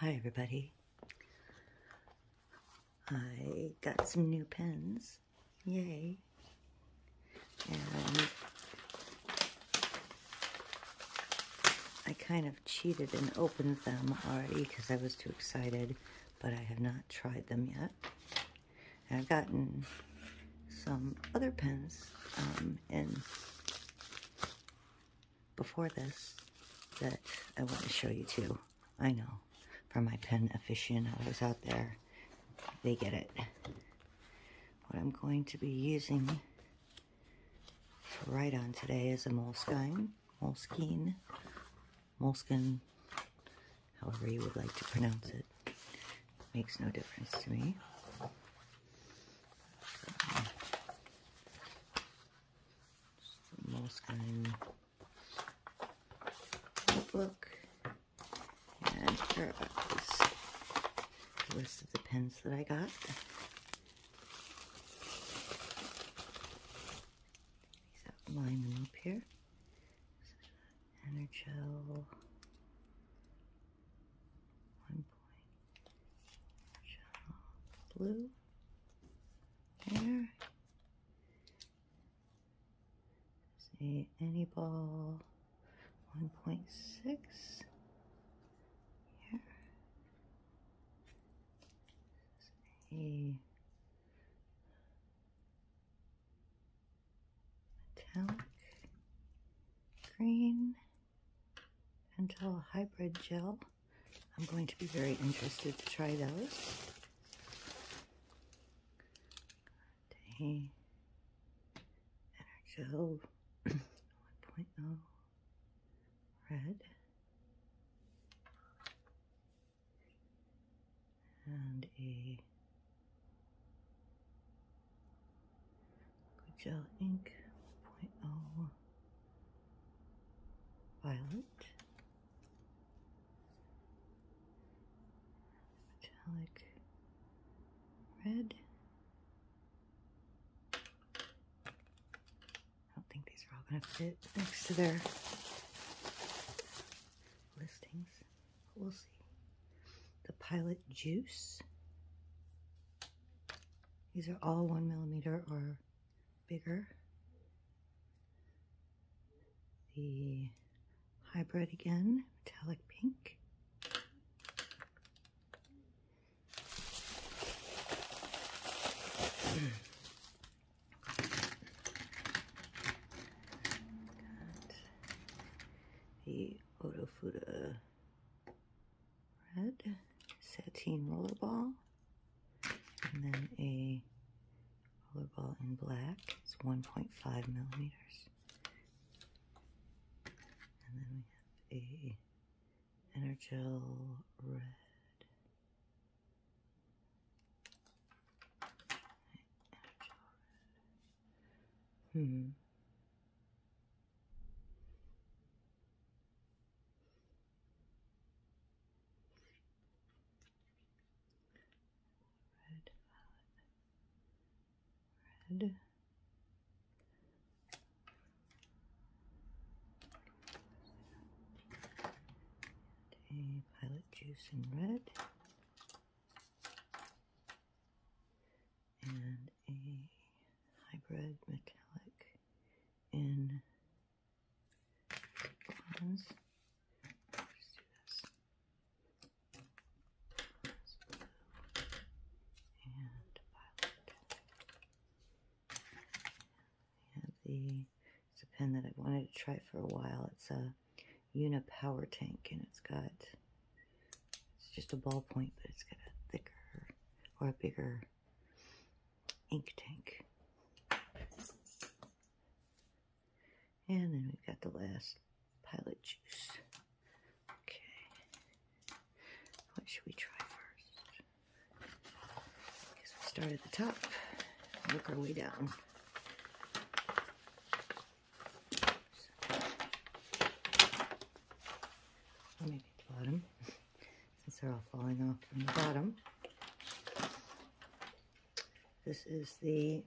Hi everybody. I got some new pens. Yay. And I kind of cheated and opened them already because I was too excited, but I have not tried them yet. I've gotten some other pens um, before this that I want to show you too. I know. For my pen aficionados out there, they get it. What I'm going to be using to write on today is a moleskine, moleskine, moleskin, however you would like to pronounce it. Makes no difference to me. Moleskine notebook and here is the list of the pens that I got. These outline them up here. Energel 1.5 blue there. See any ball 1.6 here. a metallic green Pentel Hybrid Gel. I'm going to be very interested to try those. Day Energel 1.0 Red. And a gel ink 0.01 little violet, metallic red. I don't think these are all going to fit next to their listings. we'll see. The Pilot Juice. These are all one millimeter or bigger. The hybrid again, metallic pink. the Otofuda red sateen rollerball. And then a color ball in black. It's 1.5 millimeters. And then we have a Energel red. Energel red. Hmm. Red Red. And a violet juice in red. And a hybrid metallic in cottons. and violet. I the it's a pen that I wanted to try for a while. It's a Unipower tank, and it's got it's just a ballpoint, but it's got a thicker or a bigger ink tank. And then we've got the last pilot juice. Okay. What should we try first? Because we start at the top, work our way down. So, let the bottom. since they're all falling off from the bottom. This is the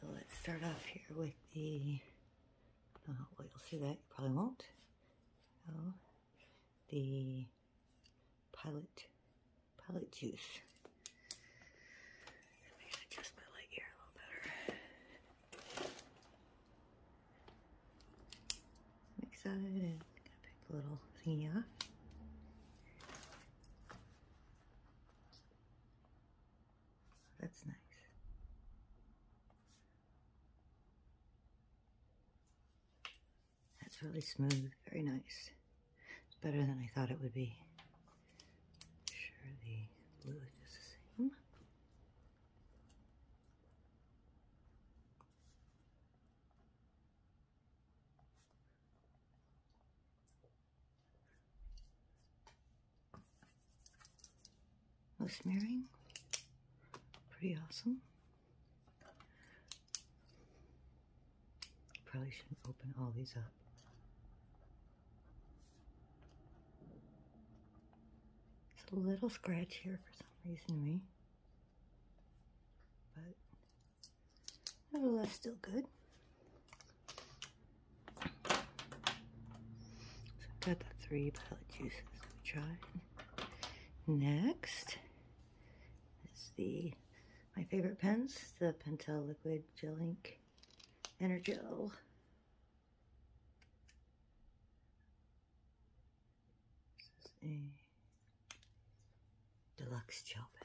So let's start off here with the, uh, well you'll see that, you probably won't. So the Pilot Probably juice. Let me adjust my light here a little better. Mix that and pick a little thingy off. That's nice. That's really smooth, very nice. It's better than I thought it would be. sure the blue is the same. No smearing. Pretty awesome. Probably shouldn't open all these up. It's a little scratch here for some reason to me. But nevertheless, still good. So I've got the three palette juices we tried. Next is the my favorite pens, the Pentel Liquid Gel Ink Energel. This is a deluxe gel pen.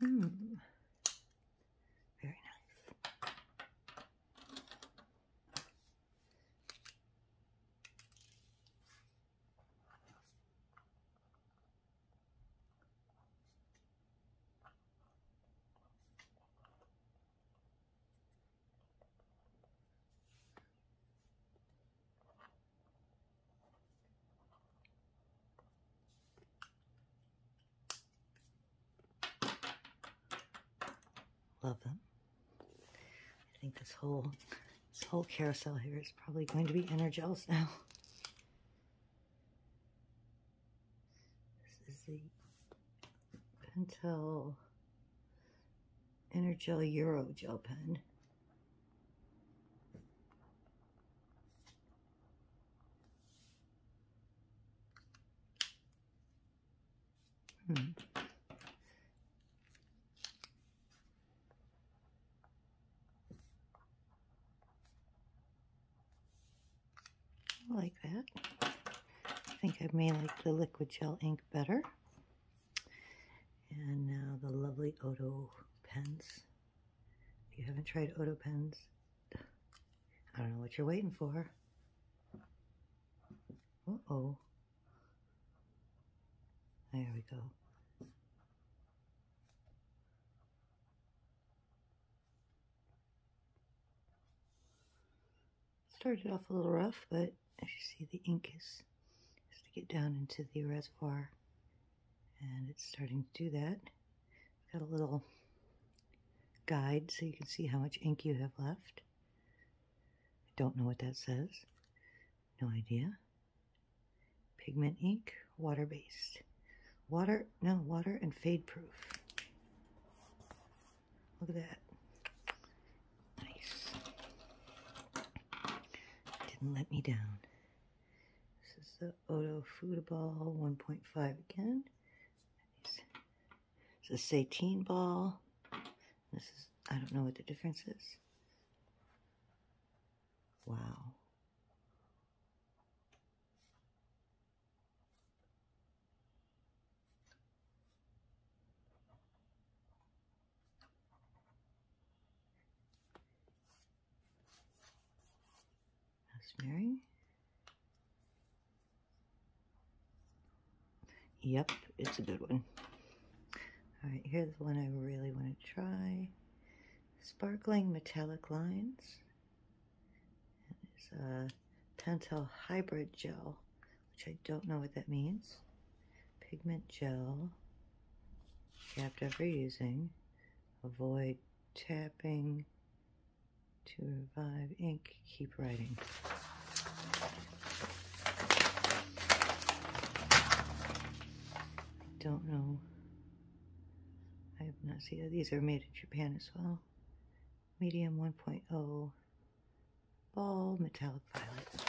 Hmm. Very nice. Love them. I think this whole this whole carousel here is probably going to be energels now. This is the Pentel gel, Euro Gel Pen. Hmm. like that. I think I may like the liquid gel ink better. And now the lovely Odo pens. If you haven't tried Odo pens, I don't know what you're waiting for. Uh-oh. There we go. Started off a little rough, but as you see, the ink is is to get down into the reservoir and it's starting to do that. Got a little guide so you can see how much ink you have left. I don't know what that says. No idea. Pigment ink, water-based. Water, no, water and fade-proof. Look at that. Nice. Didn't let me down. This is the Odo Food Ball 1.5 again. This is a Satine ball. This is, I don't know what the difference is. Wow. Rosemary. Yep, it's a good one. Alright, here's the one I really want to try. Sparkling Metallic Lines. It's a Pentel Hybrid Gel, which I don't know what that means pigment gel after ever using. Avoid tapping to revive ink. Keep writing. don't know. I have not seen These are made in Japan as well. Medium 1.0 ball metallic violet.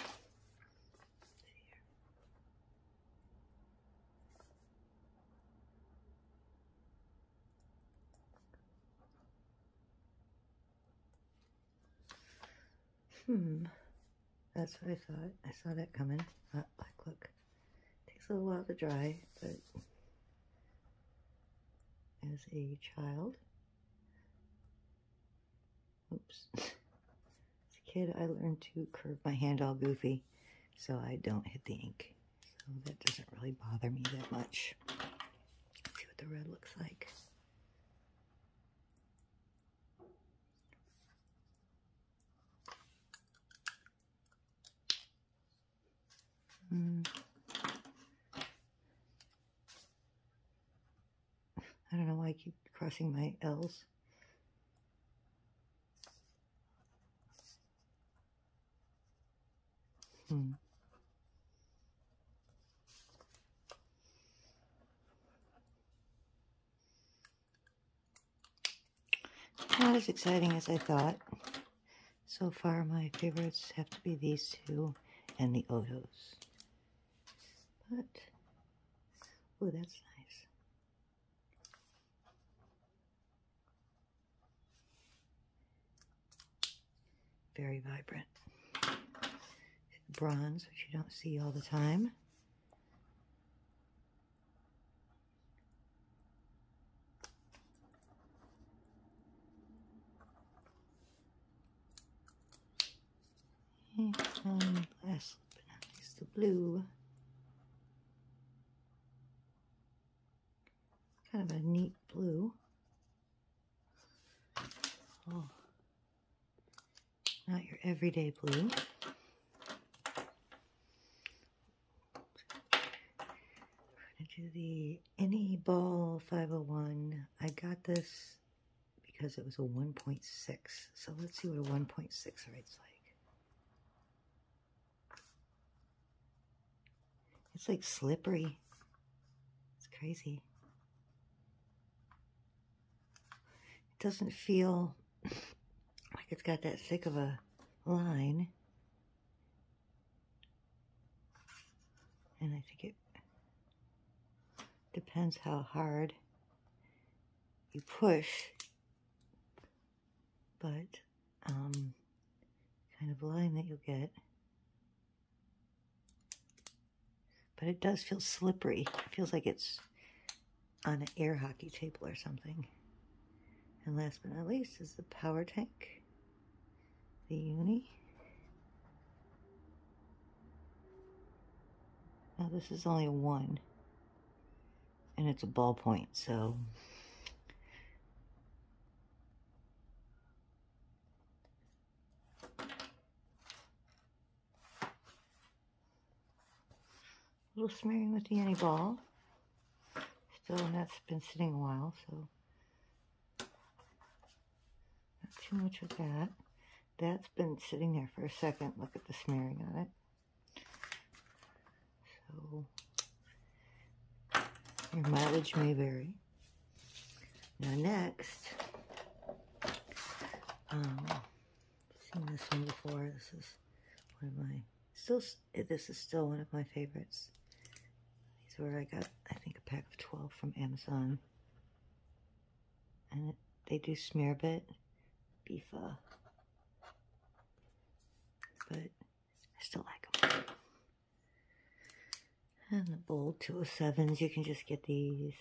Hmm, that's what I thought. I saw that coming. That look. Takes a little while to dry, but as a child, Oops. As a kid, I learned to curve my hand all goofy so I don't hit the ink. So that doesn't really bother me that much. see what the red looks like. Mm. I don't know why I keep crossing my L's. Hmm. Not as exciting as I thought. So far, my favorites have to be these two and the Odos. But, oh, that's nice. Very vibrant. Bronze, which you don't see all the time. And last but is the blue. Kind of a neat blue. Oh, not your everyday blue. I'm going to do the Any Ball 501. I got this because it was a 1.6. So let's see what a 1.6 rate's like. It's like slippery. It's crazy. It doesn't feel like it's got that thick of a line. And I think it depends how hard you push, but um, kind of line that you get. But it does feel slippery. It feels like it's on an air hockey table or something. And last but not least is the power tank, the uni. Now this is only one. And it's a ballpoint, so... A little smearing with the any ball. Still, that's been sitting a while, so not too much of that. That's been sitting there for a second. Look at the smearing on it. So your mileage may vary. Now next, um, seen this one before. This is one of my still. This is still one of my favorites. These were I got I think a pack of twelve from Amazon and they do smear a bit beefa uh, but I still like them and the bold 207s you can just get these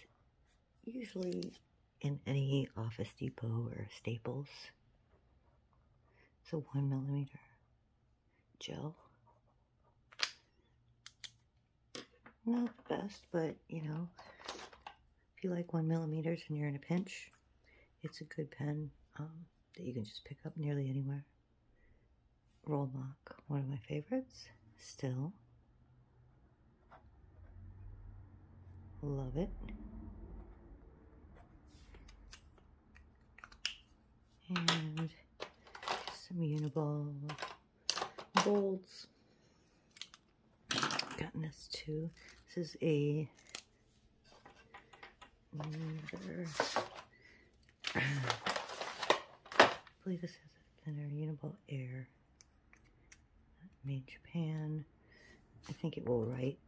usually in any office depot or staples it's a one millimeter gel not the best but you know if you like one millimeters and you're in a pinch, it's a good pen um, that you can just pick up nearly anywhere. Roll Mock, one of my favorites. Still. Love it. And some Uniball bolts gotten this too. This is a believe this is a thinner Uniball Air made Japan. I think it will write.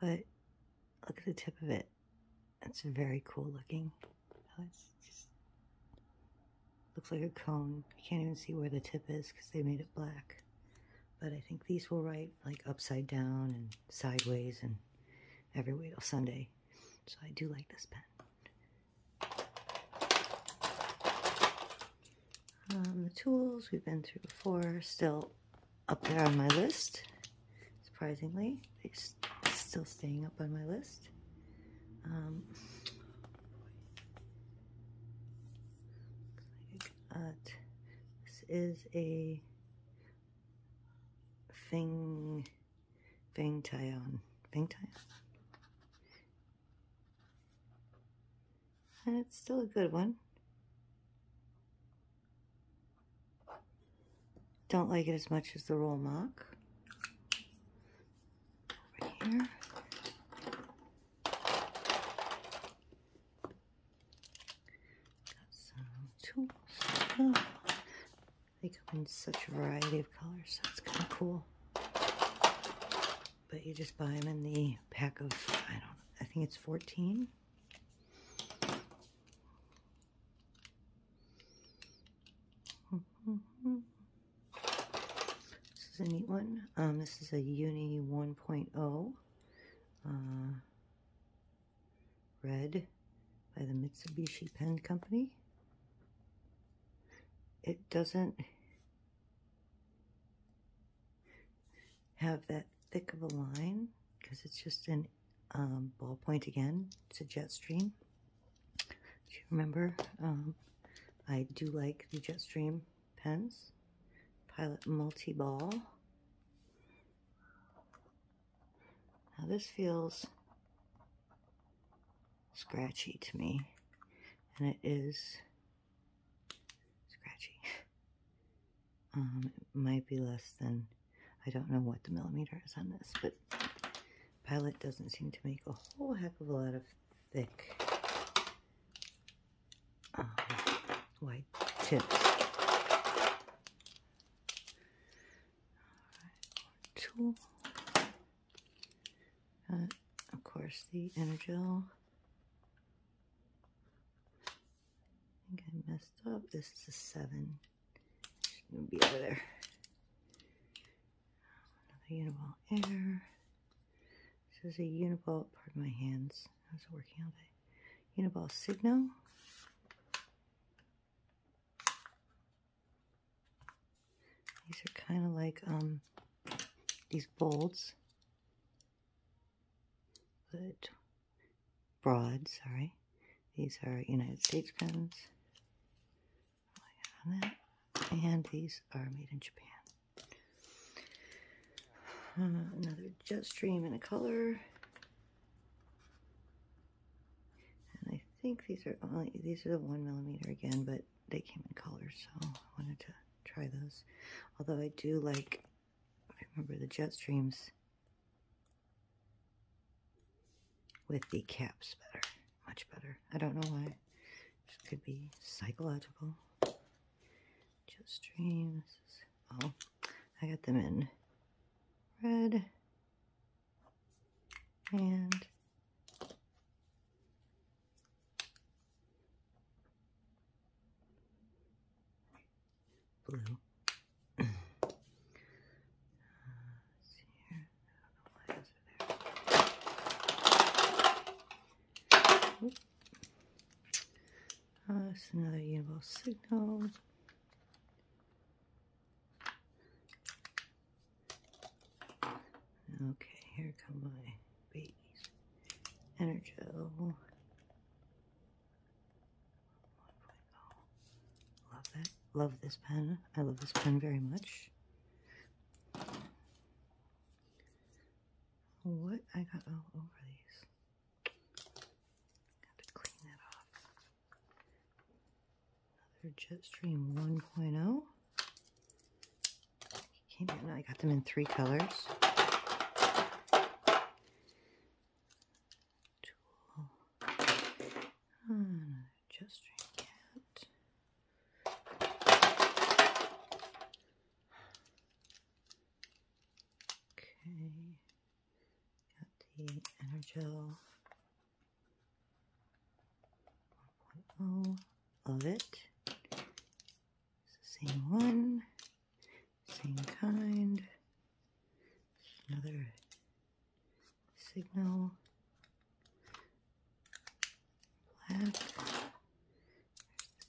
But look at the tip of it. That's very cool looking. Oh, looks like a cone. You can't even see where the tip is because they made it black. But I think these will write like upside down and sideways and every way till Sunday. So I do like this pen. Um, the tools we've been through before, still up there on my list, surprisingly it's still staying up on my list. Um, got, this is a Feng, Feng Taiyan. Feng Taiyan. And it's still a good one. Don't like it as much as the roll mock. here. Got some tools. they come in such a variety of colors. so it's kind of cool. But you just buy them in the pack of, I don't know, I think it's 14. This is a neat one. Um, this is a Uni 1.0 uh, red by the Mitsubishi Pen Company. It doesn't have that thick of a line because it's just an um, ballpoint again. It's a jet stream. Do you remember? Um, I do like the Jetstream pens. Pilot Multi-Ball. Now this feels scratchy to me. And it is scratchy. Um, it might be less than, I don't know what the millimeter is on this, but palette doesn't seem to make a whole heck of a lot of thick uh, white tips. tool. Uh, of course, the Energel. I think I messed up. This is a seven gonna be over there. Uniball Air. This is a Uniball, of my hands, I was working all day. Uniball Signal. These are kind of like um, these bolts, but broad, sorry. These are United States pens. And these are made in Japan. Uh, another jet stream in a color. And I think these are only these are the one millimeter again, but they came in colors, so I wanted to try those. Although I do like I remember the jet streams with the caps better, much better. I don't know why. This could be psychological. Just dreams. Oh, I got them in red and blue. Uh, that's uh, another universal signal. Okay, here come my babies. Energo. Love that love this pen. I love this pen very much. What I got all over these. Got to clean that off. Another Jetstream 1.0. Came in. I got them in three colors. Tool. Hmm just drink it. Okay, got the Energel 1.0 of it. It's the same one, same kind. Another Signal, black,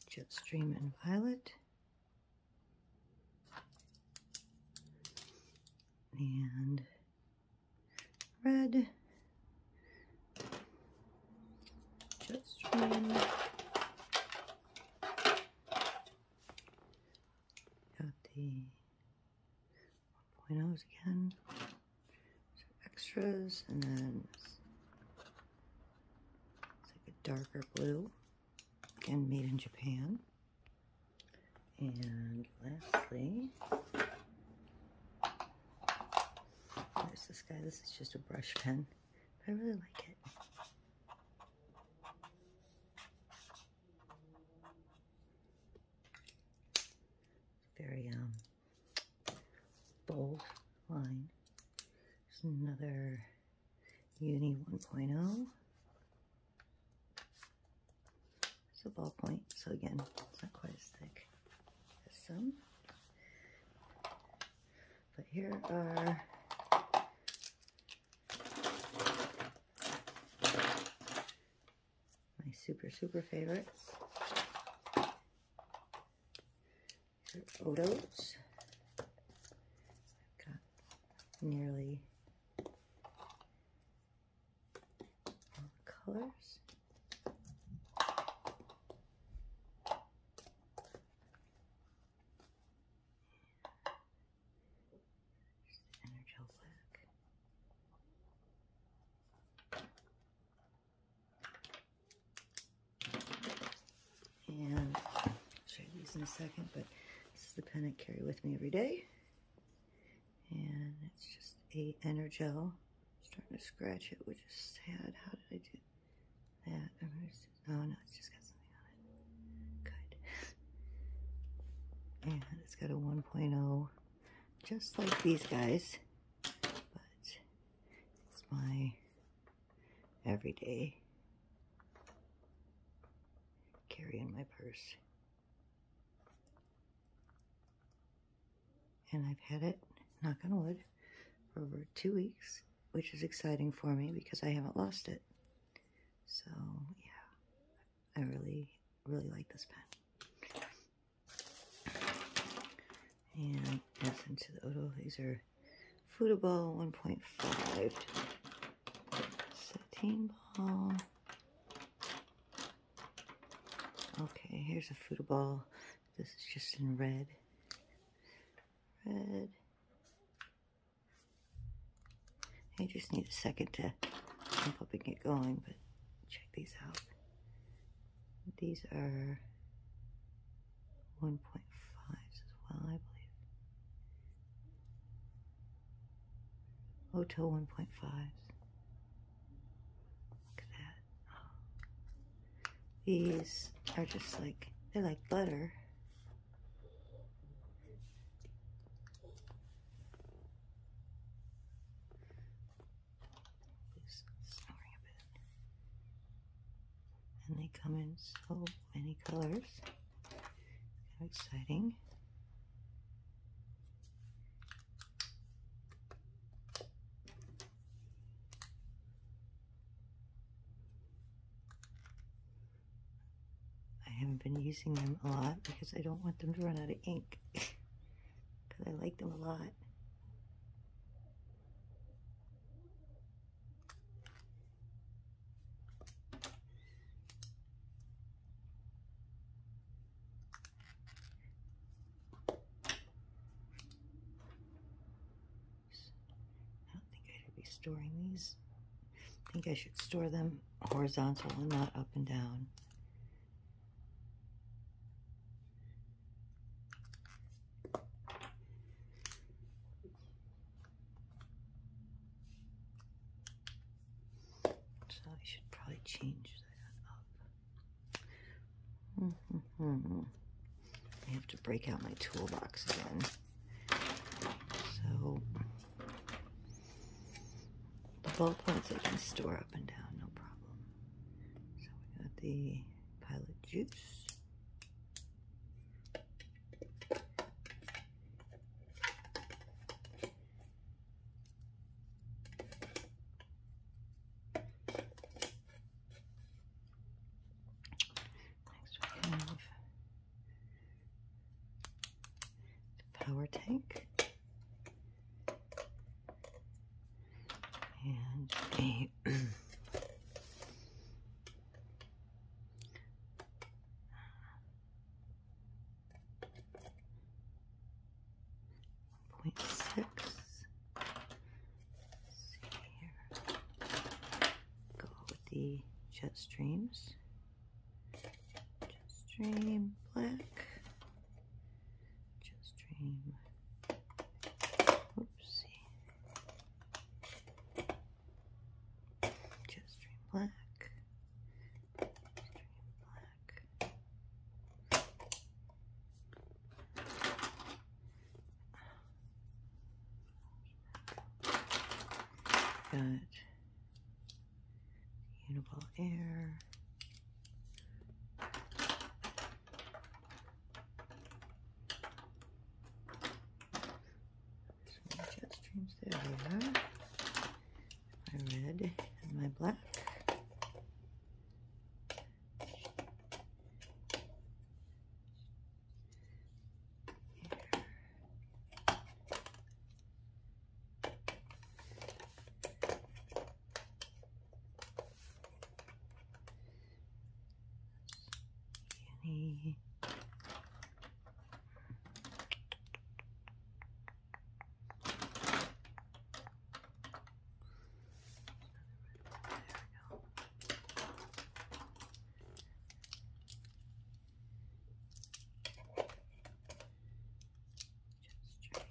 Jetstream and violet, and red, Jetstream, got the 1.0s again. So extras, and then it's like a darker blue. Again, made in Japan. And lastly, there's this guy. This is just a brush pen, I really like it very um, bold line. There's another Uni 1.0. It's a ballpoint, so again, it's not quite as thick as some. But here are my super, super favorites. Odo's. I've got nearly all colors. There's and I'll show you these in a second, but this is the pen I carry with me every day. And it's just a Energel. i starting to scratch it, which is sad. How did I do that? oh no, it's just got something on it. Good. And it's got a 1.0 just like these guys, but it's my everyday carry in my purse. And I've had it, knock on wood, for over two weeks, which is exciting for me because I haven't lost it. So, yeah, I really, really like this pen. And essence of the Odo. These are football 1.5 Sateen Ball. Okay, here's a football. This is just in red. Red. I just need a second to jump up and get going, but check these out. These are 1.5 as well, I believe. Oto 1.5. Look at that. These are just like, they're like butter snoring a bit. And they come in so many colors. How exciting. I haven't been using them a lot because I don't want them to run out of ink. because I like them a lot. I don't think I should be storing these. I think I should store them horizontal and not up and down. So I should probably change that up. -hmm. I have to break out my toolbox again. So the bullet points I can store up and down, no problem. So we got the pilot juice. Next we have power tank and a point here. Go with the jet streams. Jet stream black. Just dream. Oopsie. Just dream black. dream black. Got Uniball Air. jet streams, there My red and my black. Really there we go. Just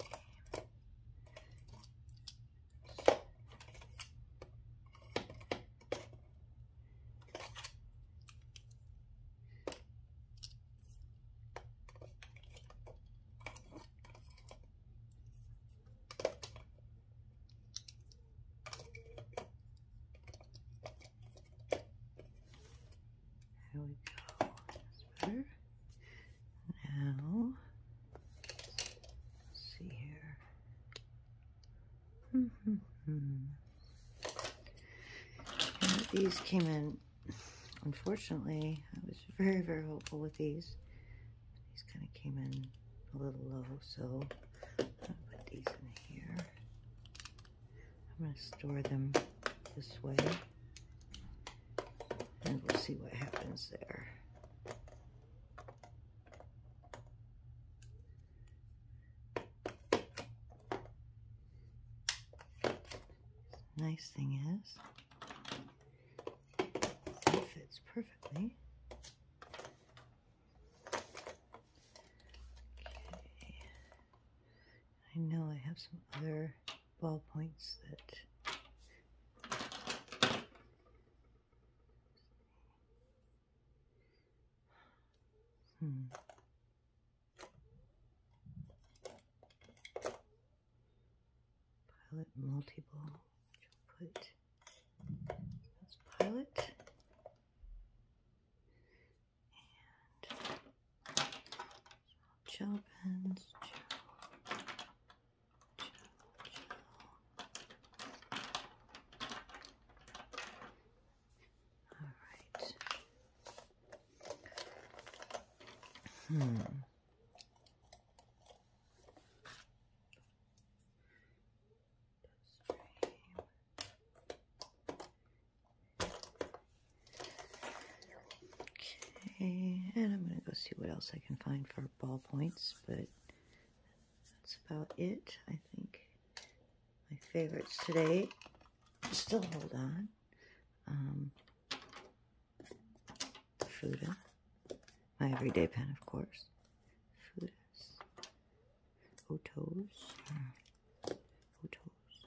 There we go. Now, see here. Hmm, hmm, hmm. these came in, unfortunately, I was very, very hopeful with these. These kind of came in a little low, so I'm gonna put these in here. I'm gonna store them this way. And we'll see what happens there. Nice thing is, it fits perfectly. Okay. I know I have some other ball points that hmm. Pilot multi ball. Put that's pilot gel pens, gel, gel, gel. All right. Hmm. Okay, and I'm going to go see what else I can find for ballpoints, but that's about it, I think. My favorites today still hold on. Um, Fuda, my everyday pen, of course. Fudas, Otos, uh, Otos,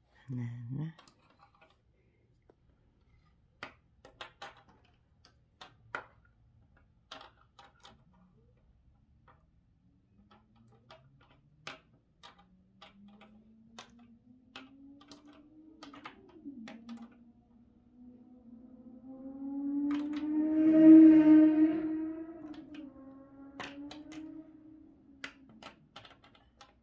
and mm-hmm. then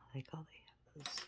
I like all the have Okay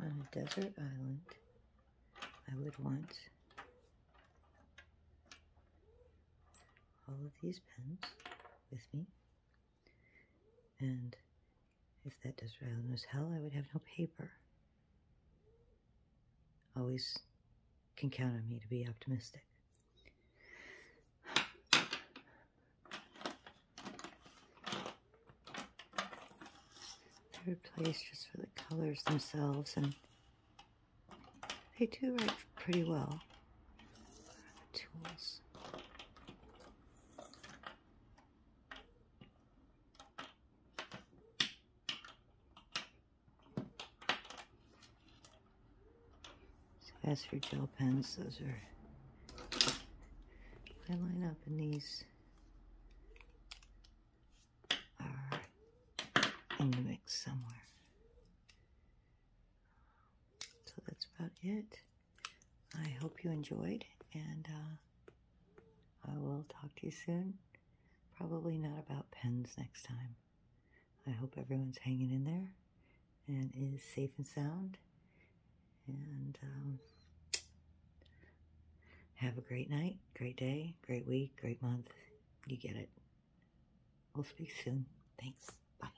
on a desert island, I would want all of these pens with me. And if that does Disraeli was hell, I would have no paper. Always can count on me to be optimistic. Third place just for the colors themselves, and they do work pretty well. Tools. So as for gel pens, those are, I line up in these are in the mix somewhere. So that's about it. I hope you enjoyed, and uh, I will talk to you soon. Probably not about pens next time. I hope everyone's hanging in there and is safe and sound. And um, have a great night, great day, great week, great month. You get it. We'll speak soon. Thanks. Bye.